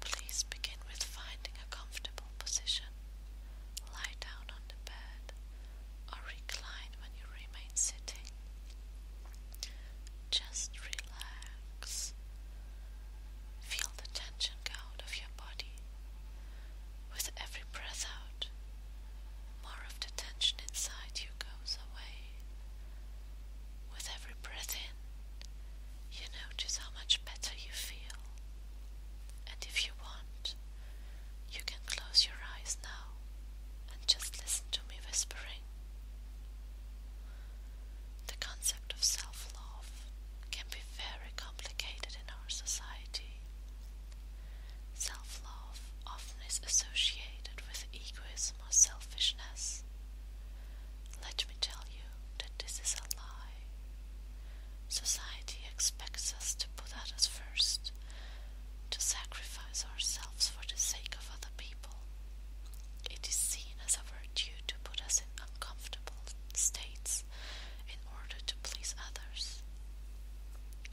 Please begin with finding a comfortable position. Lie down on the bed or recline when you remain sitting. Just relax. Feel the tension go out of your body with every breath out, more of the tension inside you goes away. With every breath in, you notice how much better you feel. And if you want, you can close your eyes now and just listen to me whispering. The concept of self love can be very complicated in our society. Self-love often is associated with egoism or selfishness. Let me tell you that this is a lie. Society expects us to put others first, to sacrifice ourselves for the sake of other people. It is seen as a virtue to put us in uncomfortable states in order to please others.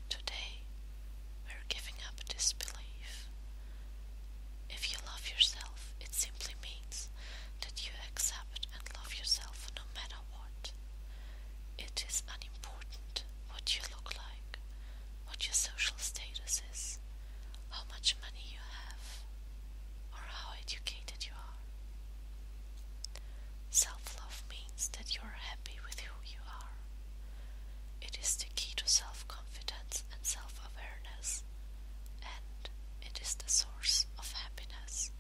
Today, we're giving up this belief. If you love yourself, it simply means that you accept and love yourself no matter what. It is unimportant what you look like, what your social status is, how much money you have, or how educated you are. Self love means that you are happy with who you are. It is the key to self confidence and self awareness, and it is the source of happiness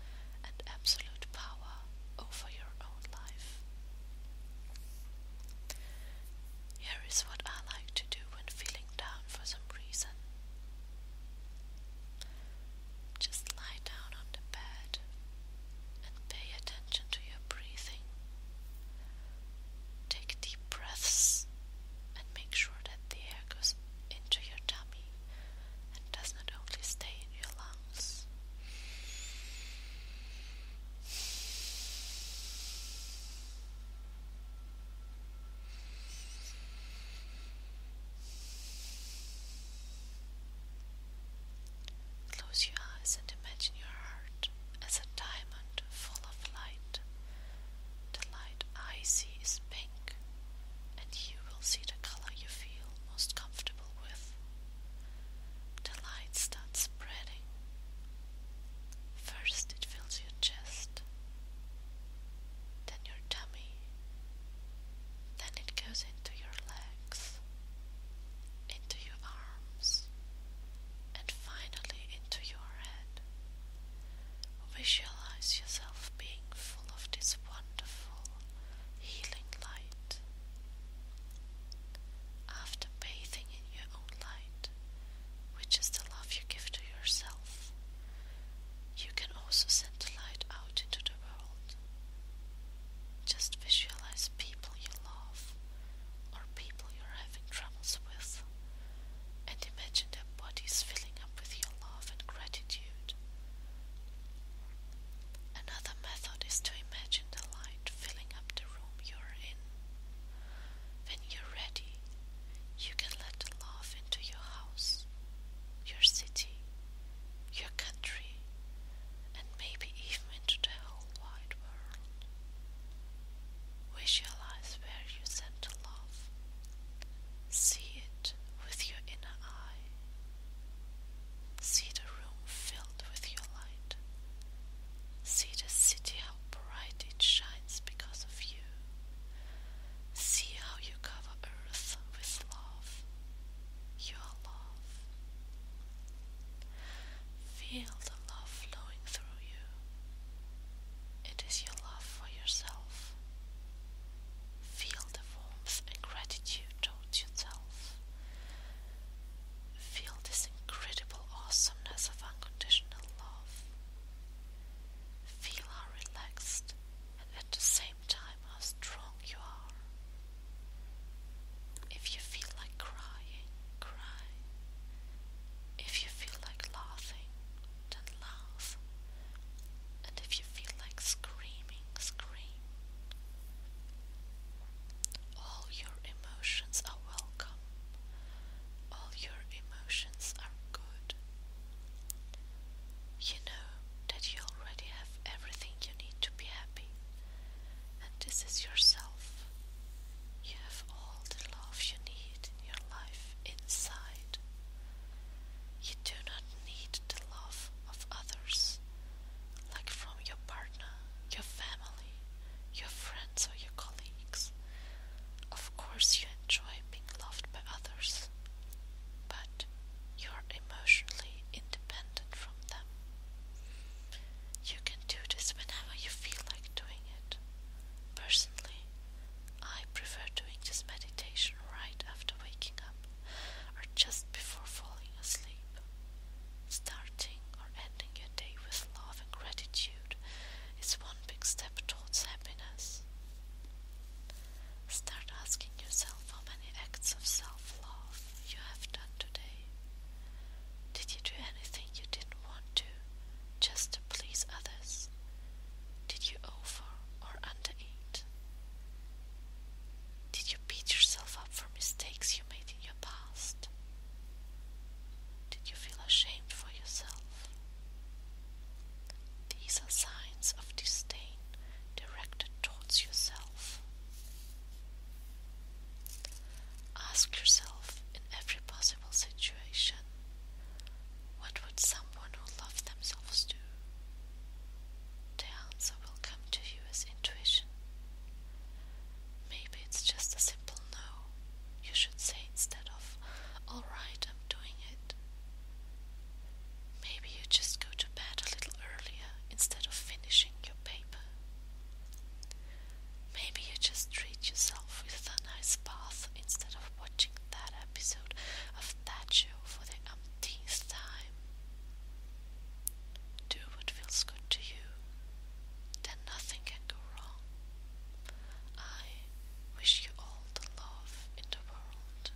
and absolute power over your own life. Here is what I like to do when feeling down for some reason. Just lie down on the bed and pay attention to your breathing. Take deep breaths and make sure that the air goes into your tummy and does not only stay in your lungs. Close your eyes and imagine your heart as a diamond full of light. The light I see is pink, and you will see the color you feel most comfortable with. The light starts spreading. First, it fills your chest, then your tummy, then it goes into your legs, into your arms, and finally into your head. Visualize yourself being full of this wonderful healing light. After bathing in your own light, which is the love you give to yourself, you can also send the light out into the world. Just visualize people you love or people you're having troubles with and imagine their bodies filling up with your love and gratitude. Another method is to imagine the light filling up the room you're in. When you're ready, you can let the love into your house, your city, your country, and maybe even into the whole wide world. Visualize where you send the love. See it with your inner eye. See the room filled with your light. See the city, how bright it shines because of you. See how you cover earth with love your love. Feel the love flowing through you. It is your love for yourself. Feel the warmth and gratitude towards yourself. Feel this incredible awesomeness of unconditional love. Feel how relaxed and at the same time how strong you are. If you feel like crying, cry. If you feel like laughing, then laugh. And if you feel like screaming, scream. All your emotions are welcome. All your emotions are good. You know, that you already have everything you need to be happy, and this is yourself. You have all the love you need in your life inside. You do not need the love of others, like from your partner, your family, your friends, or your colleagues. Of course, you enjoy being loved by others, but you are emotionally independent from them. You can do this whenever you feel like doing it. Personally, I prefer doing this meditation right after waking up or just before falling asleep. Starting or ending your day with love and gratitude is one big step towards happiness. Start asking yourself how many acts of self love you have done today. Did you do anything you didn't want to just to please others? Did you over or undereat? Did you beat yourself up for mistakes you made in your past? Did you feel ashamed for yourself? These are signs of disdain directed towards yourself. Ask yourself in every possible situation what would someone who loved themselves do? The answer will come to you as intuition. Maybe it's just a simple no. You should say instead of, alright, I'm doing it. Maybe you just go to bed a little earlier instead of finishing your paper. Maybe you just treat yourself with a nice bath instead of watching that episode of that show for the umpteenth time. Do what feels good to you, then nothing can go wrong. I wish you all the love in the world.